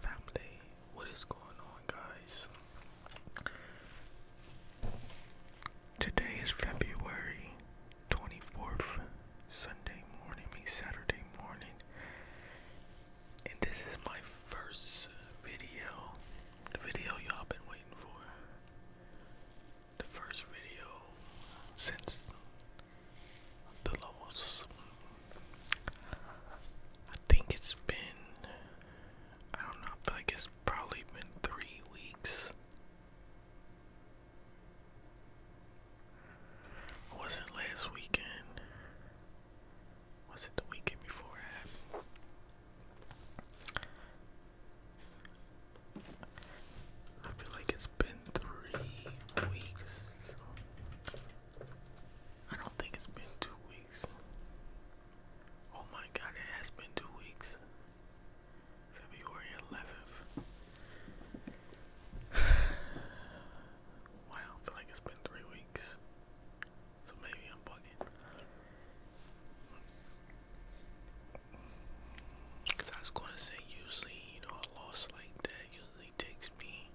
Family, what is going on, guys? Today is February 24th, Sunday morning, Saturday morning, and this is my first video. The video y'all been waiting for. The first video since the levels. I think it's been, I don't know, but I guess probably been three weeks. Was it last weekend? Was it the weekend before I feel like it's been three weeks. I don't think it's been two weeks. Oh my god, it has been two weeks. February 11th. Wow, feel like it's been three weeks. So maybe I'm bugging. Cause I was gonna say usually, you know, a loss like that usually takes me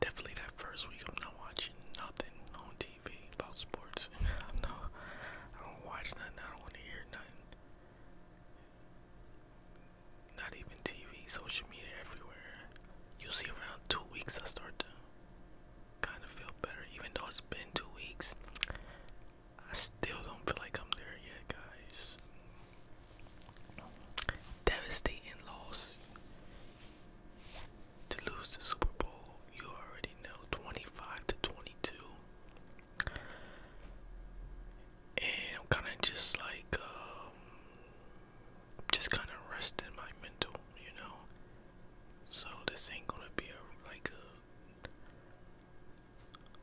definitely that first week I'm not watching nothing on TV about sports. I'm not I don't watch nothing, I don't wanna hear nothing. Not even TV, social media everywhere. Usually around two weeks I start to kinda feel better. Even though it's been two weeks, I still don't feel like I'm there yet, guys. Devastating loss. To lose the Super Bowl, you already know 25 to 22. And I'm kind of just like, um, just kind of resting my mental, you know? So this ain't gonna be a, like a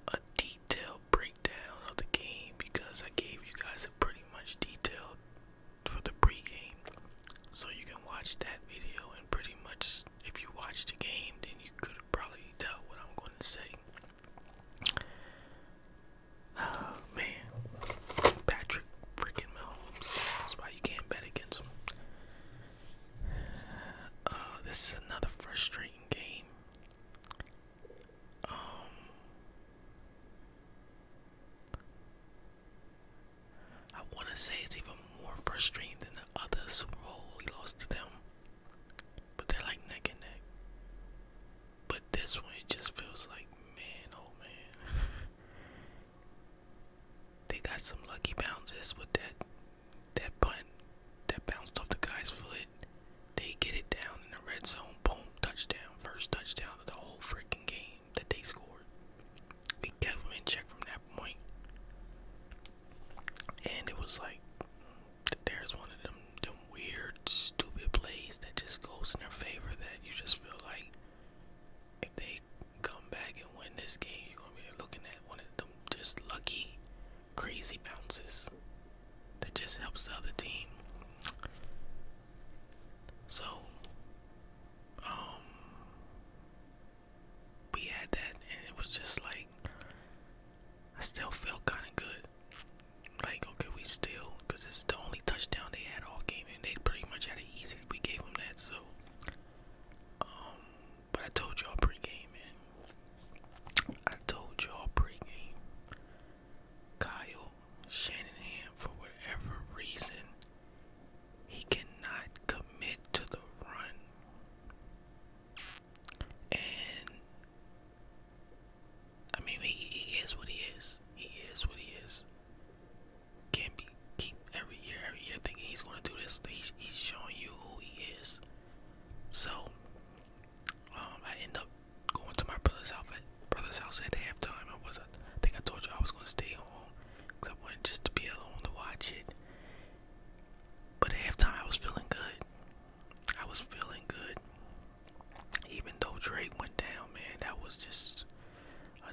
a detailed breakdown of the game because I gave you guys a pretty much detailed for the pregame. So you can watch that video and pretty much if you watch the game then you could probably tell what I'm going to say. Oh man. Patrick freaking Mahomes. That's why you can't bet against him. Uh, this is another frustrating game. Um, I want to say it's even more frustrating than the other Super Bowl we lost to them, but they're like neck and neck. But this one, it just feels like, man, oh man. they got some lucky bounces with that that punt that bounced off the guy's foot. They get it down in the red zone. Boom, touchdown. First touchdown of the whole freaking game that they scored. We kept them in check from that And it was like, there's one of them, them weird, stupid plays that just goes in their favor that you just feel like if they come back and win this game, you're going to be looking at one of them just lucky crazy bounces that just helps the other team. So, um, we had that, and it was just like, I still felt kind of good. Like, okay, we still, because it's the only touchdown they had all game, and they pretty much had it easy. We gave them that, so, um, but I told y'all pre man, I told y'all pregame, Kyle Shanahan, for whatever reason, he cannot commit to the run. And I mean, he, is what he is. He is what he is. Can't be keep every year, every year thinking he's gonna do this. he's showing you who he is. So um, I end up going to my brother's house at halftime. I was, I think I told you I was gonna stay home because I wanted just to be alone to watch it. But halftime, I was feeling good. I was feeling good, even though Drake went down. Man, that was just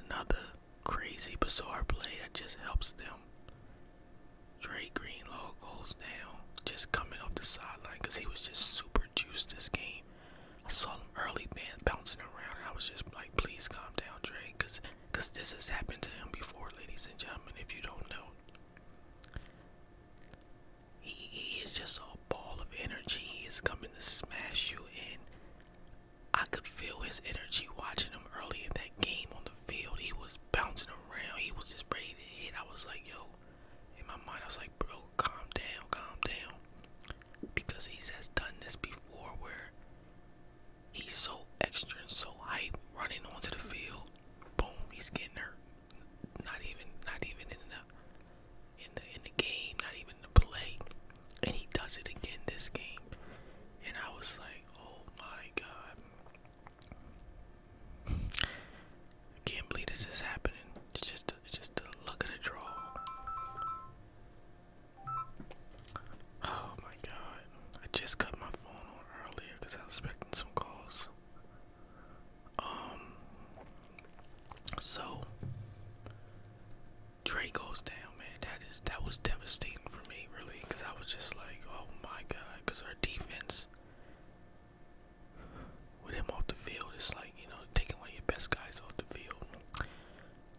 another crazy, bizarre play that just helps them Dre Greenlow goes now just coming off the sideline because he was just super juiced this game. I saw him early man bouncing around and I was just like, please calm down, Dre, because cause this has happened to him before, ladies and gentlemen, if you don't know. He, he is just a ball of energy. He is coming to smash you in. I could feel his energy watching him early in that game on the field. He was bouncing around. He was just ready to hit. I was like, yo, in my mind, I was like, bro, calm down, calm down. Because he has done this before where he's so extra and so hype running onto the field. Boom, he's getting hurt. Not even not even in the in the in the game, not even the play. And he does it again this game. And I was like, oh my god. I can't believe this is happening. It's just, it's just the luck the draw. Oh my god! I just cut my phone on earlier because I was expecting some calls. Um. So. Trey goes down, man. That is that was devastating for me, really, because I was just like, oh my god, because our defense with him off the field, it's like, you know, taking one of your best guys off the field.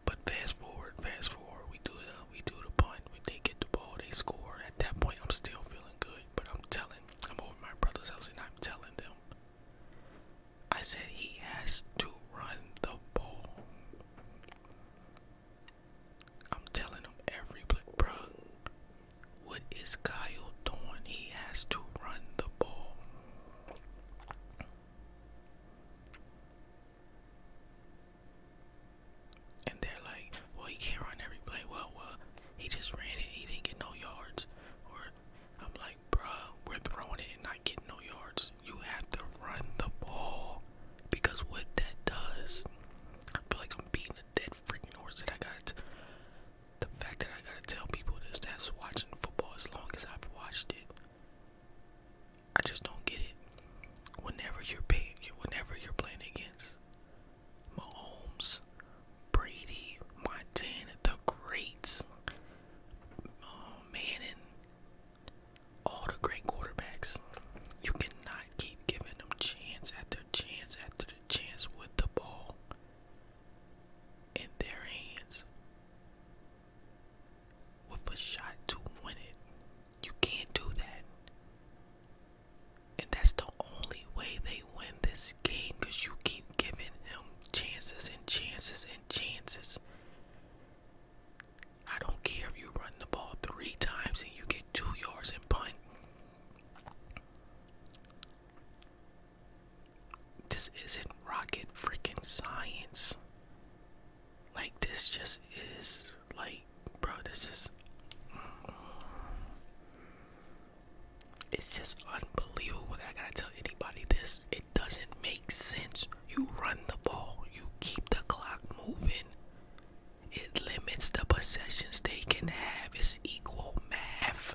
But fast forward, fast forward, we do the we do the punt, when they get the ball, they score. At that point I'm still feeling good, but I'm telling I'm over my brother's house and I'm telling them. I said he has to run the ball. I'm telling him every play, bro. What is Kyle doing? He has to run the ball. And they're like, well, he can't run every play. Well, well, he just ran it. He didn't get no yards. Or I'm like, bruh, we're throwing it and not getting no yards. You have to run the ball because what that does, I feel like I'm beating a dead freaking horse that I got the fact that I gotta tell people this that's watching football as long as I've watched it, I just don't get it. Whenever you're paying, whenever you're playing against Mahomes, Brady, Montana, the greats, um, Manning, all the great quarterbacks, you cannot keep giving them chance after chance after chance with the ball in their hands with a shot to win it. You can't do that. And that's the only way they win this game because you keep giving them chances and chances and chances. I don't care if you run the ball three times and you get two yards and punt. This isn't rocket freaking science. Like, this just is like, bro, this is. it's just unbelievable I gotta tell anybody this. It doesn't make sense. You run the ball, you keep the clock moving, it limits the possessions they can have is equal math.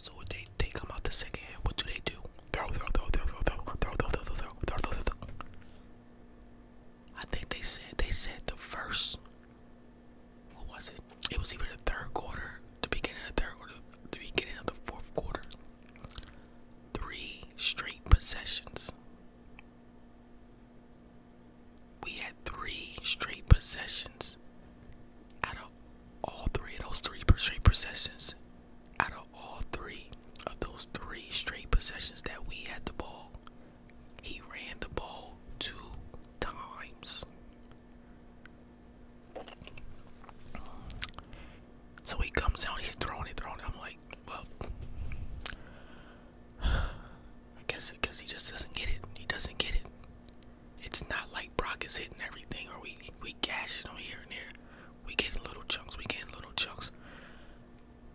So they they come out the second What do they do? Throw, throw, throw, throw, throw, throw, throw, throw, throw, throw, throw, I think they said they said the first. What was it? It was even the third quarter, the beginning of the third quarter, the beginning of the fourth quarter. Three straight possessions. We had three straight possessions. Out of all three of those three straight possessions, out of all three of those three straight possessions that we had the ball, he ran the ball two times. So he comes out, he's throwing it, throwing I'm like, well, I guess because he just doesn't get it. He doesn't get it. It's not like Brock is hitting everything, or we we gash here and there. We get little chunks. We get little chunks.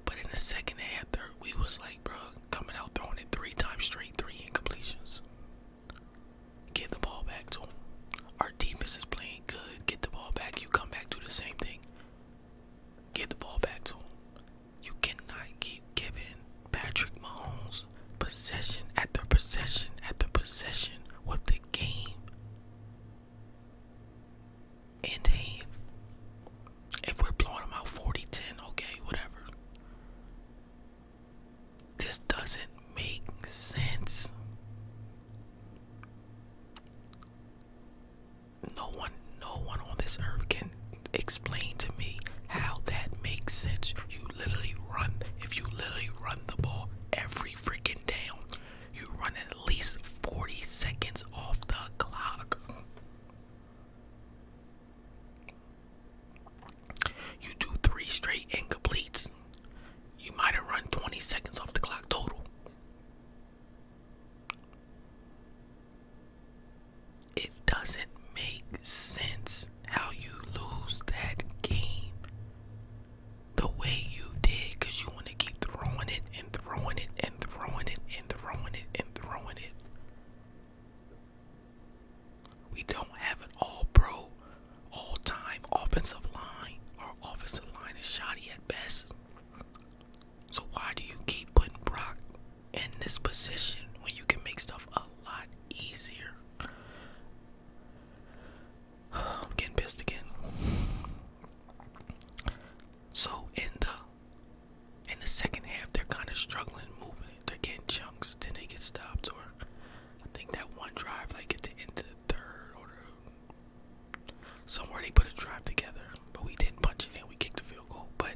But in the second half, third, we was like, bro, coming out throwing it three times straight, three incompletions. Get the ball back to him. Our defense is playing good. Get the ball back. You come back, to the same thing. Get the ball back to him. You cannot keep giving Patrick Mahomes possession after possession after possession with the game in hand. If we're blowing them out 40 10, okay, whatever. This doesn't make sense no one no one on this earth can explain to me how that makes sense. You literally run if you literally run the ball every freaking down, you run at least 40 seconds off the clock. You do three straight incompletes. You might have run 20 seconds off the clock total. It doesn't make sense how you lose that game the way you did because you want to keep throwing it and throwing it and throwing it and throwing it and throwing it. We don't have an all pro, all time offensive line. Our offensive line is shoddy at best. So why do you keep putting Brock in this position when you can make stuff a lot easier? I'm getting pissed again. So in the in the second half, they're kind of struggling moving it. They're chunks, then they get stopped. Or I think that one drive, like at the end of the third, or somewhere they put a drive together, but we did punch it in. We kicked the field goal, but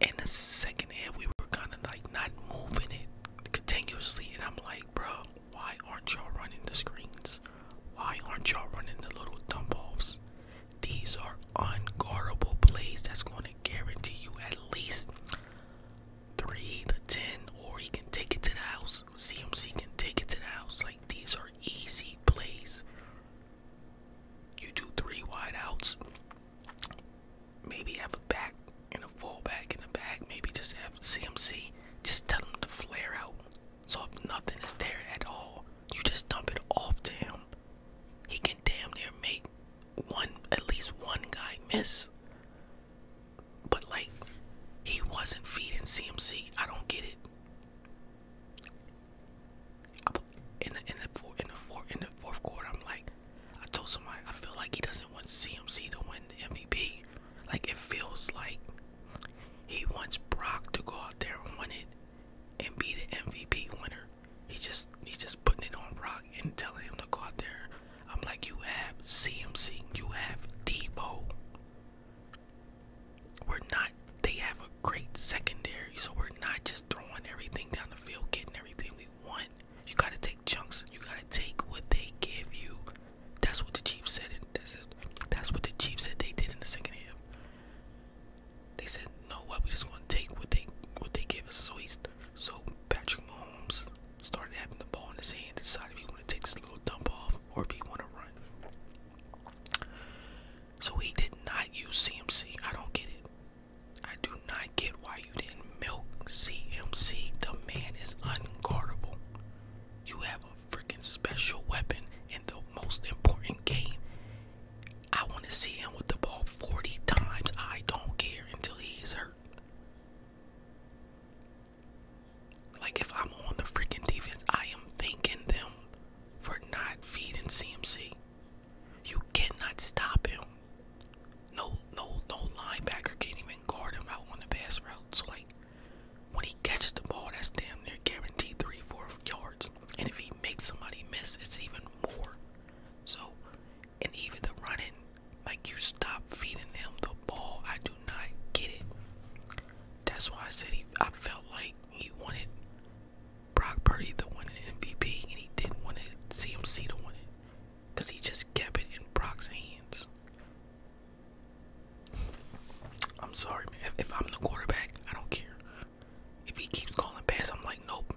in the second half, we were kind of like not moving it continuously. And I'm like, bro, why aren't y'all running the screens? Why aren't y'all running the little dump offs? These are unguardable plays that's going to guarantee you at least three to ten, or he can take it to the house. CMC can take it to the house. Like, these are easy plays. You do three wideouts. Maybe have a back and a fullback in the back. Maybe just have CMC. Just tell him to flare out. So if nothing is there at all, you just dump it off to him. He can damn near make one, at least one guy miss. But like, he wasn't feeding CMC. I don't get it. In the in the four, in the four, in the fourth quarter, I'm like, I told somebody I feel like he doesn't want CMC to win the MVP. Like it feels like he wants Brock to go out there and win it and be the MVP winner. He's just he's just putting it on Brock and telling him to go out there. I'm like, you have CMC, you have Debo, we're not they have a great secondary, so we're not just throwing everything down the field, getting everything we want. You gotta take chunks. You gotta take what they give you. That's what the Chiefs said. That's it. That's what the Chiefs said they did in the second half. They said, "No, what? We just want to take what they what they give us." So he's so Patrick Mahomes started having the ball in his hand, decided if he want to take this little dump off or if he want to run. So he did not use CMC. I don't get it. I do not get why you didn't milk CMC. The man is unguardable. You have a freaking special weapon in the most important game. I want to see him with the ball 40 times. I don't care until he is hurt. Like if I'm on the freaking defense, I am thinking them for not feeding CMC. You cannot stop him. No, no, no linebacker can even guard him out on the pass route. So like, when he catches the ball, that's damn near guaranteed three, four yards. And if he makes somebody miss, it's even more. So, and even the running, like you stop feeding him the ball. I do not get it. That's why I said he. I felt like he wanted Brock Purdy the one an MVP, and he didn't want it, CMC to win it, because he just kept it in Brock's hands. I'm sorry, man. If, I'm the quarterback, I don't care. If he keeps calling pass, I'm like, nope.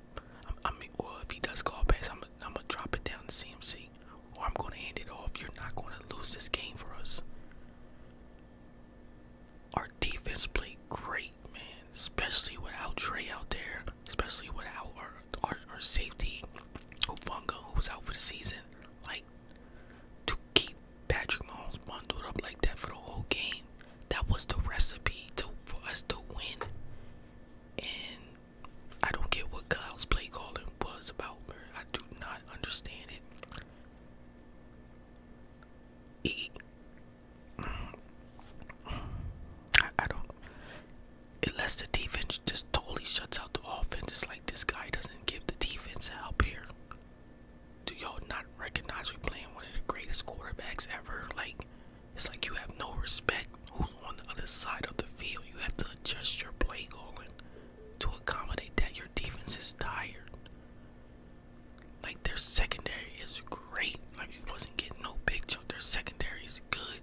I'm, I mean, well, if he does call pass, I'm, I'm gonna drop it down to CMC, or I'm gonna hand it off. You're not gonna lose this game for us. Our defense played great, man. Especially without Trey out there. Especially without our our, our safety, who was out for the season. Like to keep Patrick Mahomes bundled up like that for the whole game. That was the recipe to for us to win. And I don't get what Kyle's play calling was about. I do not understand it. He I, don't. Unless the defense just totally shuts out the offense, it's like this guy doesn't give the defense help here. Do y'all not recognize we're playing one of the greatest quarterbacks ever? Like, it's like you have no respect who's on the other side of the field. You have to adjust your play calling to accommodate that. Your defense is tired. Like their secondary is great. Like you wasn't getting no big chunk. Their secondary is good.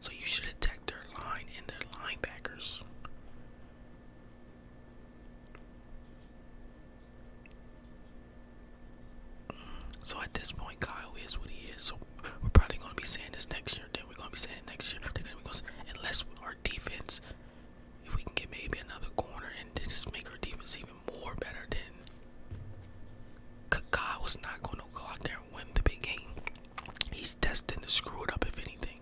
So you should attack their line and their linebackers. So at this point, Kyle is what he is. So we're probably gonna be saying this next year. Then we're gonna be saying it next year. Then we're gonna unless our defense, if we can get maybe another corner and just make our defense even more better than Kaká was not going to go out there and win the big game. He's destined to screw it up, if anything.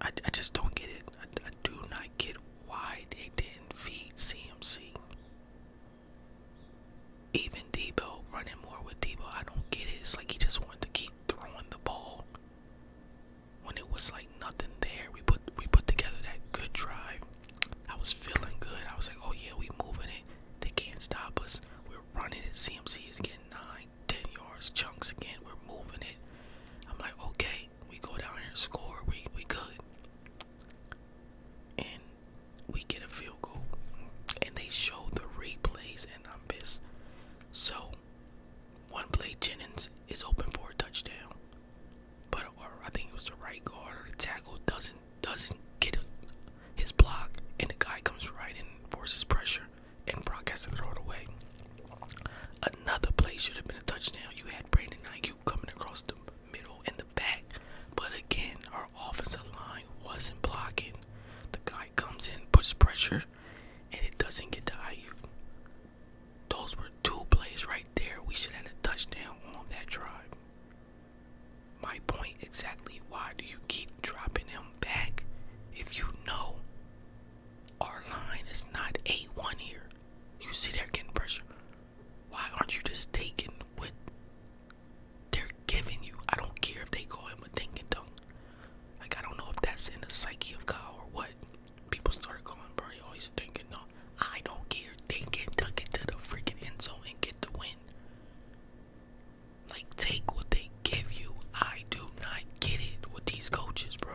I, I just don't get it. I do not get why they didn't feed CMC. Even Debo, running more with Debo, I don't get it. It's like he just wanted to keep throwing the ball when it was like nothing there, we put we put together that good drive. I was feeling good. I was like, oh yeah, we moving it. They can't stop us. We're running it. CMC is getting nine, ten yards chunks again. We're moving it. I'm like, okay, we go down here and score. We we good. And we get a field goal. And they show the replays and I'm pissed. So one play Jennings is open for a touchdown but I think it was the right guard or the tackle doesn't doesn't get his block, and the guy comes right in, forces pressure, and Brock has to throw it away. Another play should have been a touchdown. You had Brandon Ayuk coming across the middle and the back, but again, our offensive line wasn't blocking. The guy comes in, puts pressure, and it doesn't get to Ayuk. Those were two plays right there. We should have a touchdown on that drive. My point exactly why do you keep dropping him back if you know our line is not A1 here? You see they're getting pressure. Why aren't you just taking what they're giving you? I don't care if they go in with ding and dunk. Like I don't know if that's in the psyche of God or what people started calling Birdie always thinking, no, I don't care. They can tuck it to the freaking end zone and get the win. Like, take what they give you. I do not get it with these coaches, bro.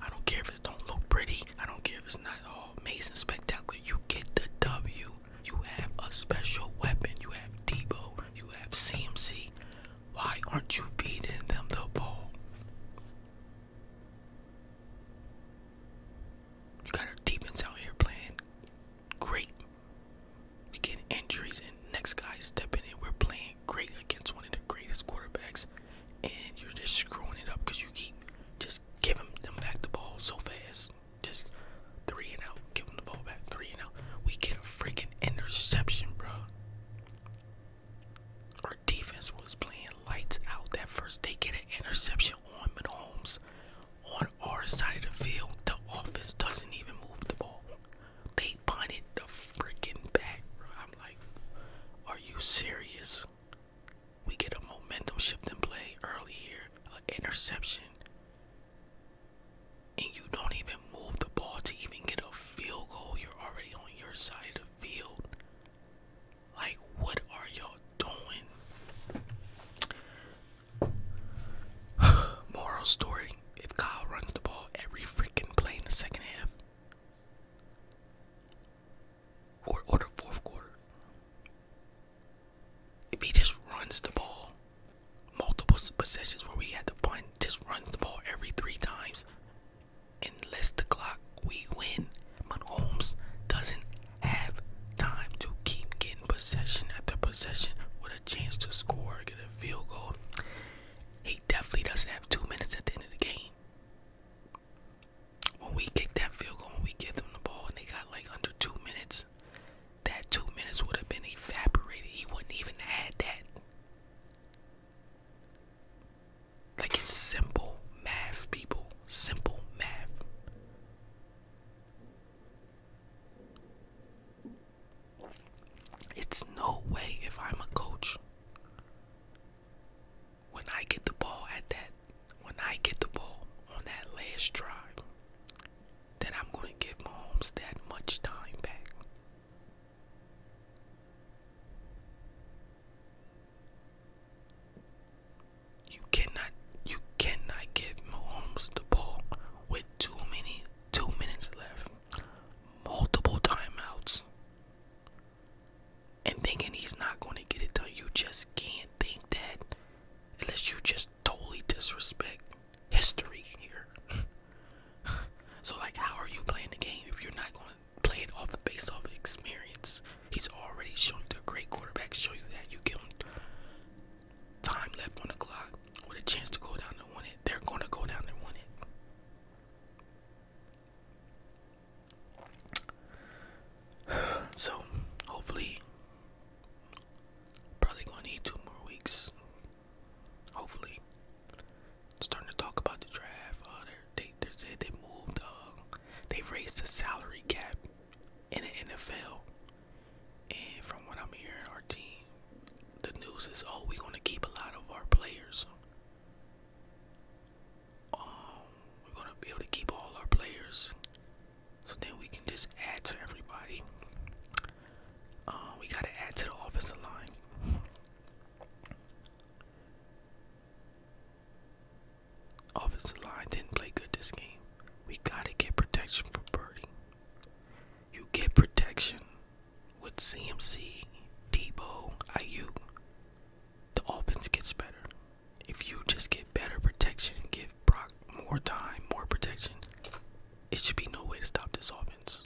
I don't care if it don't look pretty. I don't care if it's not all amazing, spectacular. You get the W. You have a special weapon. You have Debo. You have CMC. Why aren't you feeding them the ball? You got our defense out here playing great. We get injuries and next guy stepping in. We're playing great against one of the greatest quarterbacks, and you're just screwing it up because you keep just giving them back the ball so fast. Just three and out. Give them the ball back. Three and out. We get a freaking interception, bro. Our defense was playing lights out that first. day. get an interception on Mahomes on our side of the field. The offense doesn't even move the ball. They punted the freaking back, I'm like, are you serious? We get a momentum shift in play early here, an interception and you don't even move the ball to even get a field goal, you're already on your side of the field. Like, what are y'all doing? Moral story if Kyle runs the ball every freaking play in the second half, or, or fourth quarter, if he just runs the ball multiple possessions where we had to punt, just runs the ball every three times, Unless the clock, we win. But Holmes doesn't have time to keep getting possession after possession with a chance to score, get a field goal. He definitely doesn't have two minutes at the end of the game. When we kick that field goal, when we get them the ball, and they got like under two minutes, that two minutes would have been evaporated. He wouldn't even had that. Like it's simple math, people. Simple math. It's no way if I'm a coach. When I get the ball at that, when I get the ball on that last drive, then I'm going to give Mahomes that much time back. You cannot you cannot give Mahomes the ball with too many two minutes left. Multiple timeouts. And thinking he's not going to get it done. You just can't think that unless you just totally disrespect history here. so like how are you playing the game if you're not going to play it off based off experience? He's already shown you the great quarterback, show you that you give them time left on the clock with a chance to go down and win it. They're going to go down and win it. So hopefully probably going to need two more weeks Hopefully, starting to talk about the draft. Uh, they they said they moved. Uh, they raised the salary cap in the NFL. And from what I'm hearing, our team, the news is, oh, we're gonna keep a lot of our players. Um, we're gonna be able to keep all our players, so then we can just add to everybody. Uh, we gotta add to the offensive line. Offensive line didn't play good this game. We gotta get protection for Birdie. You get protection with CMC, Debo, IU. The offense gets better. If you just get better protection give Brock more time, more protection, it should be no way to stop this offense.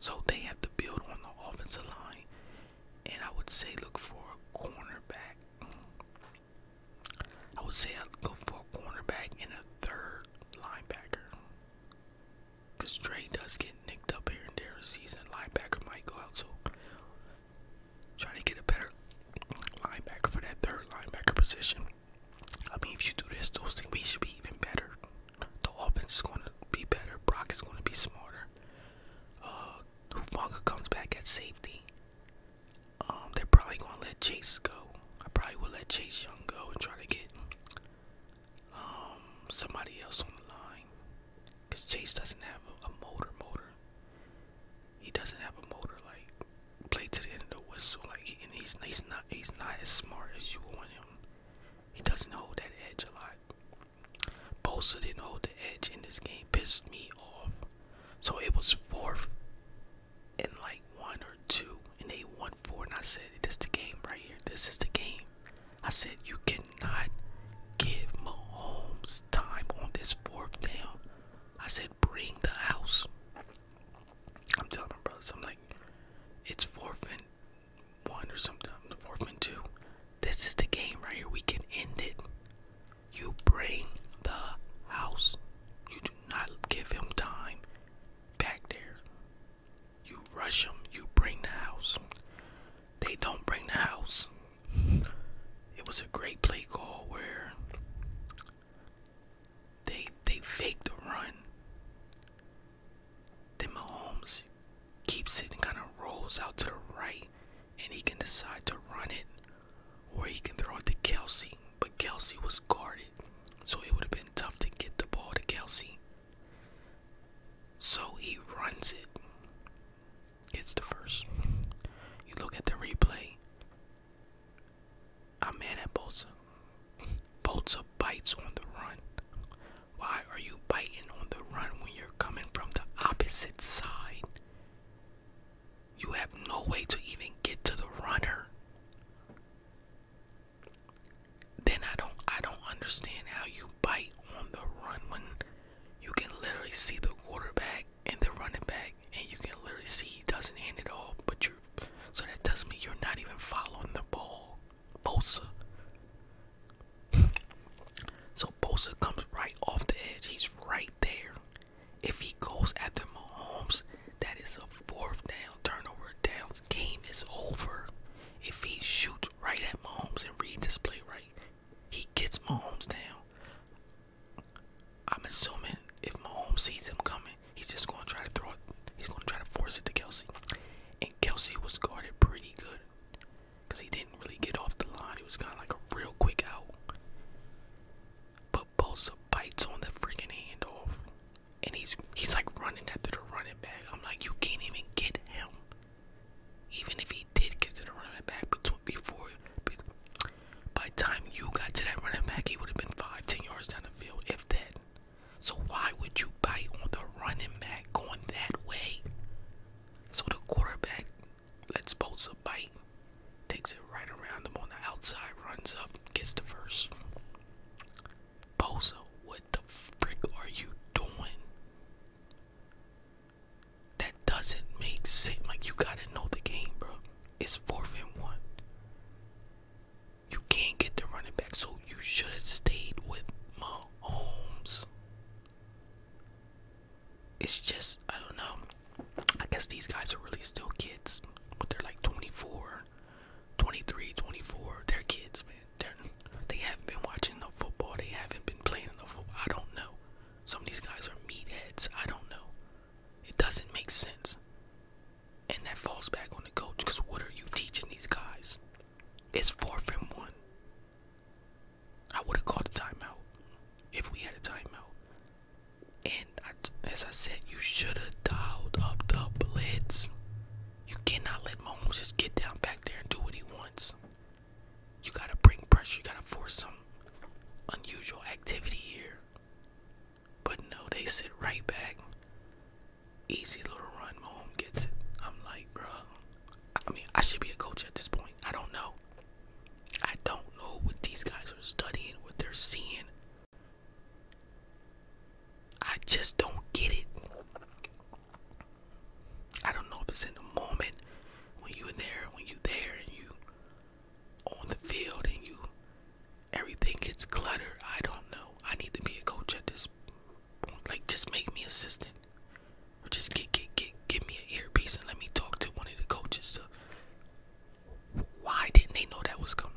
So they have to build on the offensive line. And I would say look for a cornerback. I would say go for a cornerback and a third linebacker. Because Dre does get nicked up here and there in season. Linebacker might go out, so try to get a better linebacker for that third linebacker position. I mean, if you do this, those things, we should be even better. The offense is going to be better. Brock is going to be smarter. Uh, Hufanga comes back at safety. Um, they're probably going to let Chase go. I probably will let Chase Young go and try to get um, somebody else on the line. Because Chase doesn't have a, motor motor. He doesn't have a motor like play to the end of the whistle. Like, and he's, he's not he's not as smart as you want him he doesn't hold that edge a lot. Bosa didn't hold the edge in this game, pissed me off. So it was fourth and like one or two, and they won four. And I said, This is the game right here. This is the game. I said, You cannot give Mahomes time on this fourth down. I said, Bring the house. I'm telling them, brothers, I'm like, It's fourth and one or something, fourth and two. This is the game right here. We can end it. You bring the house. You do not give him time back there. You rush him. You bring the house. They don't bring the house. It was a great play call where they they faked the run. Then Mahomes keeps it and kind of rolls out to the right, and he can decide to run it, or he can throw it to Kelsey. But Kelsey was guarded, so it would have been tough to get the ball to Kelsey. So he runs it. gets the first. You look at the replay. I'm mad at Bolsa. Bolsa bites on the run. Why are you biting on the run when you're coming from the opposite side? You have no way to even get to the runner. Then I don't I don't understand how you bite on the run when you can literally see the quarterback and the running back and you can literally see he doesn't end it all. but you're so that tells me you're not even following the ball. Bosa. so Bosa comes right off the edge. He's right there. If he goes after Mahomes, that is a fourth down turnover. Downs game is over. If he shoots right at Mahomes and reads this play right, he gets Mahomes down. I'm assuming if Mahomes sees him coming, he's just gonna try to throw it. He's gonna try to force it to Kelsey and Kelsey was guarded pretty good because he didn't really get off the line. It was kind of like a real quick out. But Bosa bites on the freaking handoff, and he's he's like running after the running back. I'm like, you can't even get him. Even if he did get to the running back between before, by time you got to that running back, he would have been five, ten yards down the field, if that. So why would you bite on the running back going that way? So the quarterback lets Bosa bite, takes it right around him on the outside, runs up, gets the first. Bosa, what the frick are you doing? That doesn't make sense. Like you gotta know the game, bro. It's fourth and one. You can't get the running back, so you should have stayed with Mahomes. It's just, I don't know. I guess these guys are really still kids, but they're like 24, 23, 24. They're kids, man. They're, they have not been watching the football. They haven't been playing the football. I don't know. Some of these guys are meatheads. I don't know. It doesn't make sense. And that falls back on the coach because what are you teaching these guys? It's four from one. I would have called a timeout if we had a timeout. And as I said, you should have dialed up the blitz. You cannot let Mahomes just get down back there and do what he wants. You gotta bring pressure. You gotta force some unusual activity here. But no, they sit right back. Easy little run. my home gets it. I'm like, bro. I mean, I should be a coach at this point. I don't know. I don't know what these guys are studying, what they're seeing. I just don't get it. I don't know if it's in the moment when you're there, when you're there, and you on the field, and you everything gets cluttered. I don't know. I need to be a coach at this like, just make me assistant, or just get get get give me an earpiece and let me talk to one of the coaches. why didn't they know that was coming?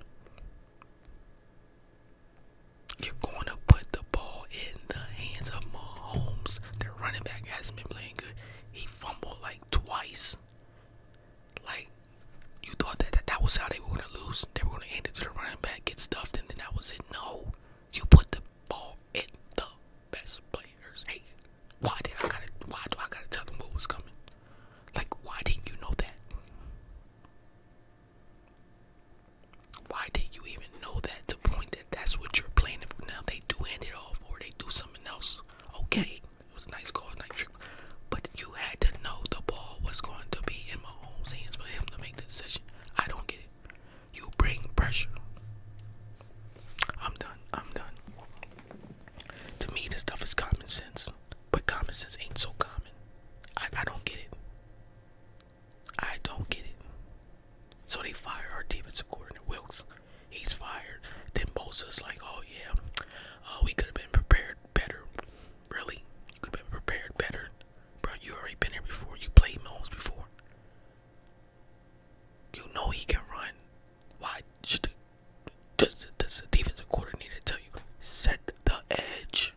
You're going to put the ball in the hands of Mahomes. The running back hasn't been playing good. He fumbled like twice. Like, you thought that that, that was how they were going to lose. They were going to hand it to the running back, get stuffed, and then that was it. No. You put the ball in the best player's Hey, Why did I gotta? Why do I gotta tell them what was coming? Like, why didn't you know that? Why did you even know that to point that that's what you're planning for? Now they do end it off, or they do something else. Okay, it was a nice call, nice trick, but you had to know the ball was going to be in Mahomes' hands for him to make the decision. I don't get you bring pressure. I'm done. I'm done. To me, this stuff is common sense, but common sense ain't so common. I, don't get it. I don't get it. So they fire our defensive coordinator, Wilkes. He's fired. Then Moses like, oh yeah, uh, we could have been prepared better. Really? You could have been prepared better. Bro, you already been here before. You played Mahomes before. You know he can run. Why should the, does, does the defensive coordinator tell you set the edge?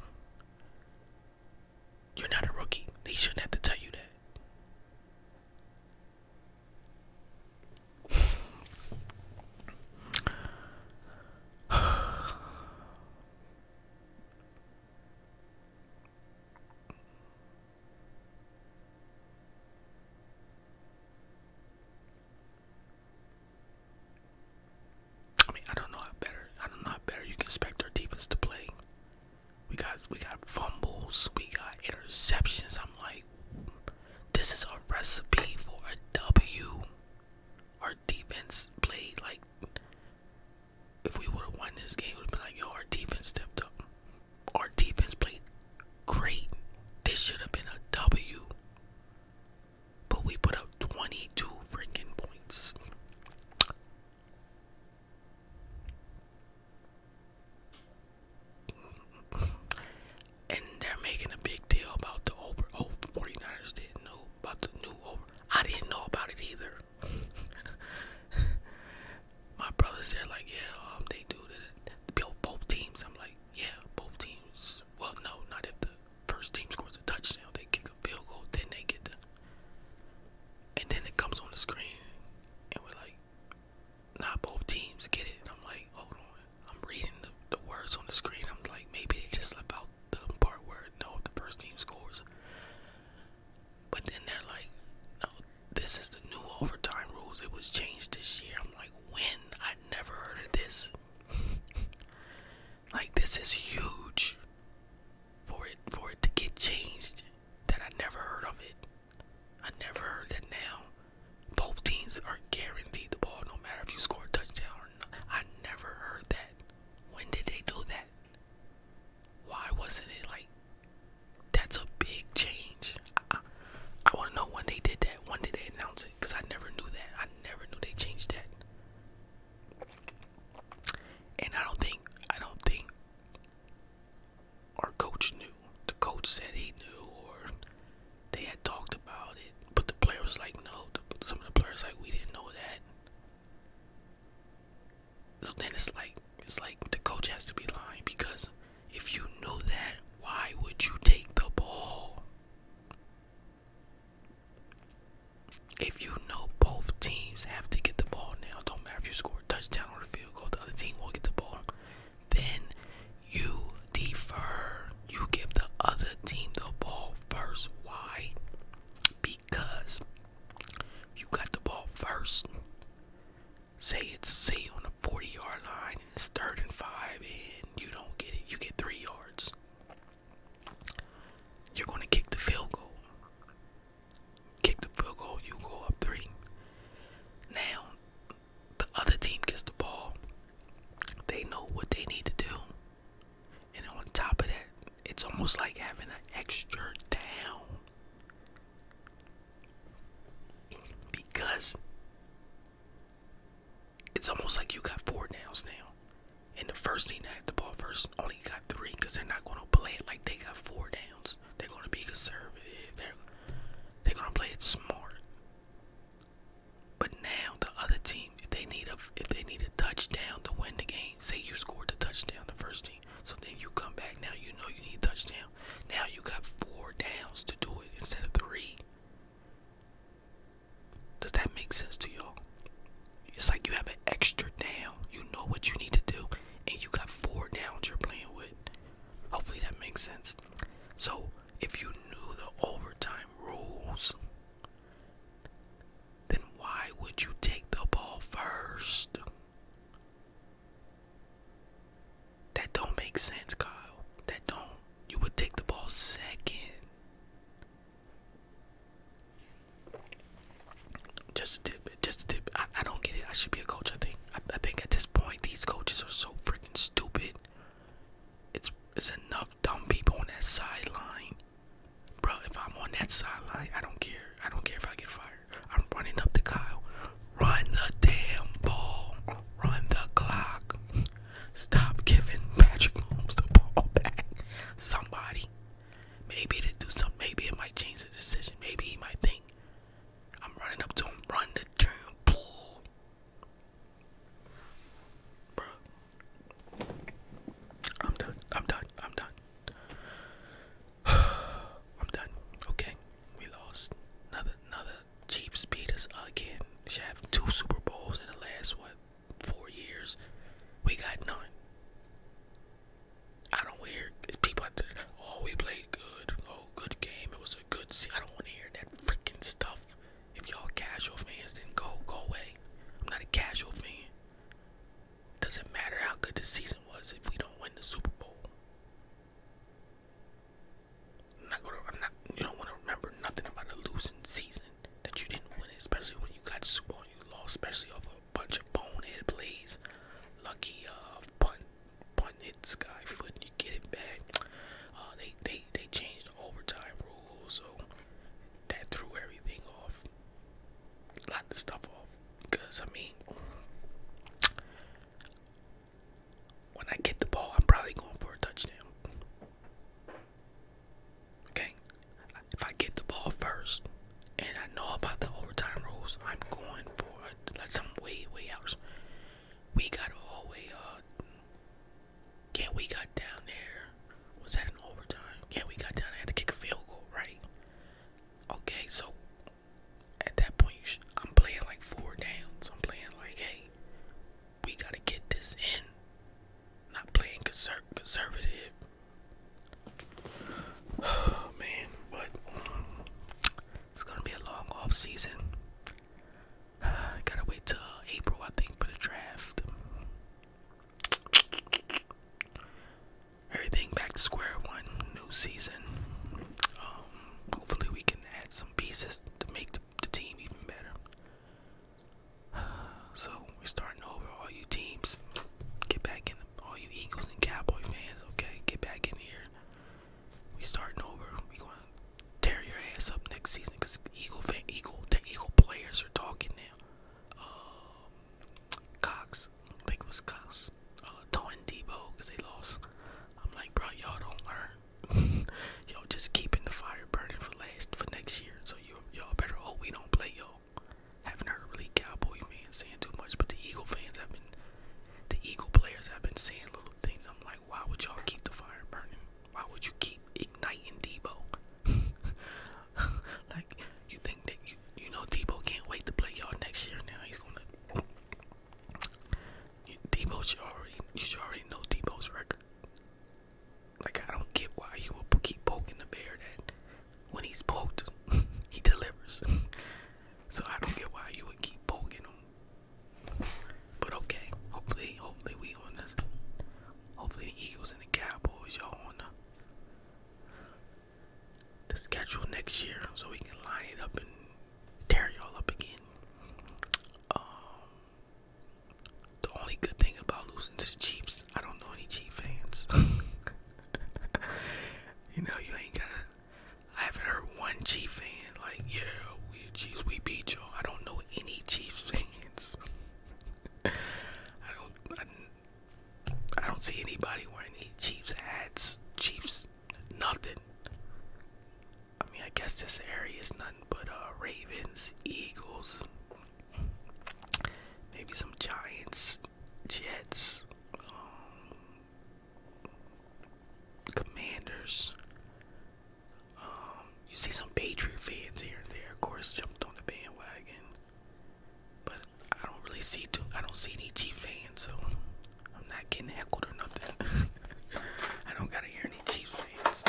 You're not a rookie. They shouldn't have to tell you that. I mean, I don't know how better. I don't know how better you can expect our defense to play. We got we got fumbles, we got interceptions. I'm like, this is a recipe for a W. Our defense played like if we would have won this game, would have been like, yo, our defense stepped up. Our defense played great. This should have been a W. But we put up 22 freaking points. And they're making a big deal about the over. Oh, the didn't know about the new over. I didn't know about it either. My brothers, they're like, yeah, um, they do the both teams. I'm like, yeah, both teams. Well, no, not if the first team scores a touchdown. They kick a field goal, then they get the, and then it comes on the screen, and we're like, not both teams get it. I'm like, hold on, I'm reading the, the words on the screen. I'm like, maybe they just left out the part where no, if the first team scores. But then they're like, no, this is the new overtime rules. It was changed this year. I'm like, when? I never heard of this. like this is huge for it for it to get changed that I never heard of it. I never heard that now. Both teams are guaranteed the ball no matter if you score a touchdown or not. I never heard that. When did they do that? Why wasn't it like that's a big change? I, want to know when they did that. When did they announce it? Because I never knew that. I never knew they changed that. And I don't think, I don't think our coach knew. The coach said he knew, or they had talked about it. But the player was like, no. some of the players like, we didn't know that. So then it's like it's like the coach has to be lying because if you know that, why would you take the ball? If you know both teams have to get the ball now, don't matter if you score a touchdown or a field goal, the other team will get the ball. Then you defer. You give the other team the ball first. Why? because you got the ball first. Say it's C on the 40 yard line and it's third and five and you don't get it, you get three yards. You're gonna kick the field goal. Kick the field goal, you go up three. Now the other team gets the ball. They know what they need to do. And on top of that, it's almost like having an extra down. Because it's almost like you got four downs now. And the first team that had the ball first only got three because they're not going to play it like they got four downs. They're going to be conservative. They're, they're going to play it smart. But now the other team, they need a if they need a touchdown to win the game, say you scored the touchdown the first team. So then you come back now you know you need touchdown. Now you got four downs to do it instead of three. Does that make sense to y'all? It's like you have an extra down. You know what you need to do and you got four downs you're playing with. Hopefully that makes sense. So if you knew the overtime rules, then why would you take the ball first? That don't make sense, Kyle. That don't. You would take the ball second. Just a tip, just a tip. I, don't get it. I should be a coach, I think. I think at this point these coaches are so freaking stupid. It's it's enough dumb people on that sideline Bro, if I'm on that sideline, I don't care. I don't care if I get fired. I'm running up to Kyle. Run the damn ball. Run the clock. Stop giving Patrick Mahomes the ball back. Somebody. Maybe to do something. Maybe it might change the decision. Maybe he might think. I'm running up to him. Run the damn ball. Bro. I'm done. I'm done. I'm done. I'm done. Okay, we lost. Another another Chiefs beat again. Should have two Super Bowls in the last what four years. We got none. I don't hear people out there. Oh, we played good. Oh, good game. It was a good. I don't want to hear that freaking stuff. If y'all casual fans, then go go away. I'm not a casual fan. Doesn't matter how good the season was if we don't win the Super Bowl. not gonna. I'm not. You don't want to remember nothing about a losing season that you didn't win, especially when you got Super Bowl. You lost, especially over a bunch of bonehead plays, lucky uh punt, punt hit sky foot. You get it back. Uh, they they they changed overtime rules, so that threw everything off lot the stuff off because I mean when I get the ball I'm probably going for a touchdown. Okay? If I get the ball first and I know about the overtime rules, I'm going for it. let some way, way out. We got all way uh yeah, we got down there. Was that an overtime? Yeah, we got down there to kick a field goal, right? Okay, so at that point, I'm playing like four downs. I'm playing like, hey, we gotta get this in. Not playing conserv conservative. Oh man, but it's gonna be a long off season. I gotta wait till uh, April, I think, for the draft everything back to square one. New season. Um, hopefully we can add some pieces to make the, team even better. So we're starting over. All you teams, get back in. The, all you Eagles and Cowboy fans, okay, get back in here. We are starting over. We are gonna tear your ass up next season because Eagle fan, Eagle, the Eagle players are talking now um, Cox. think it was Cox. Uh, Debo because they lost. I'm like, bro, y'all don't learn. yo, just keeping the fire burning for last for next year. So you y'all better hope we don't play y'all. Haven't heard really Cowboy fans saying too much, but the Eagle fans have been, the Eagle players have been saying little things. I'm like, why would y'all keep the fire burning? Why would you keep igniting Debo? like, you think that you, you know Debo can't wait to play y'all next year. Now he's gonna. You, Debo, you already you should already know Debo's record. Like I don't get why you will keep poking the bear that when he's poked, he delivers. so I don't get why you would keep poking him. But okay, hopefully, hopefully we on this. hopefully the Eagles and the Cowboys y'all on the the schedule next year so we can line it up and tear y'all up again. Um, the only good thing about losing to the Chiefs, I don't know any Chief fans. you know, you ain't gotta. I haven't heard one Chief fan like, yeah, we Chiefs, we beat y'all. I don't know any Chiefs fans. I don't. I don't see anybody wearing any Chiefs hats, Chiefs, nothing. I mean, I guess this area is nothing but uh, Ravens, Eagles, maybe some Giants, Jets, um, Commanders. Um, you see some Patriot fans here and there, of course, jumped on the bandwagon. But I don't really see too. I don't see any G fans, so I'm not getting heckled or nothing. I don't gotta hear any Chiefs fans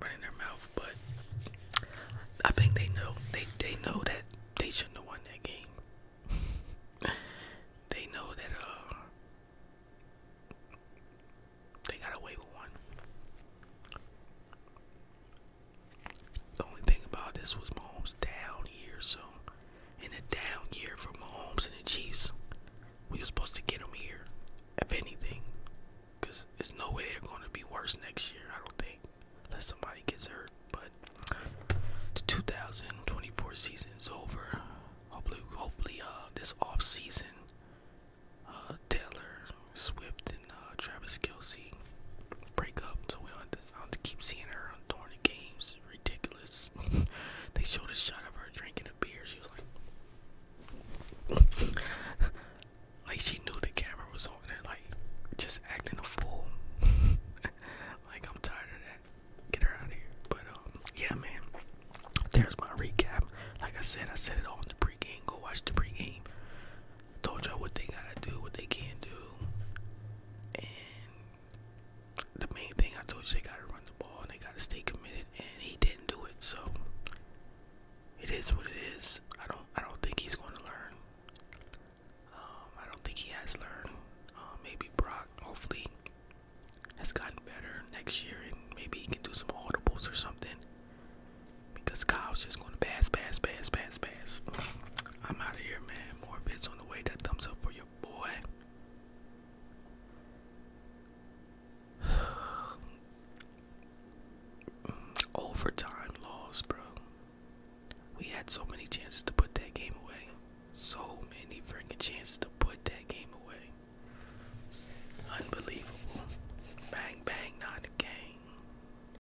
running their mouth, but I think they know they they know that they shouldn't have won that game. they know that uh they got away with one. The only thing about this was Mahomes' down here, so in the down year for Mahomes and the Chiefs, we were supposed to get them here, if anything, because there's no way they're going to be worse next year. I don't think, unless somebody gets hurt. But the 2024 season is over. Hopefully, hopefully, uh, this off season, uh, Taylor Swift and uh, Travis Kelsey break up, to we do I keep seeing her during the games. ridiculous. they showed a shot of her drinking a beer. She was like, like she knew the camera was on her, like just acting a fool. like I'm tired of that. Get her out of here. But um, yeah, man. There's my recap. Like I said, I said it all in the pregame. Go watch the pregame told y'all what they gotta do, what they can't do, and the main thing I told you they gotta run the ball and they gotta stay committed, and he didn't do it. So it is what it is. I don't I don't think he's going to learn. Um, I don't think he has learned. Um, maybe Brock, hopefully, has gotten better next year, and maybe he can do some audibles or something because Kyle's just gonna pass, pass, pass, pass, pass. I'm out of here, man. More bits on the way. That thumbs up for your boy. Overtime loss, bro. We had so many chances to put that game away. So many freaking chances to put that game away. Unbelievable. Bang, bang, not a game.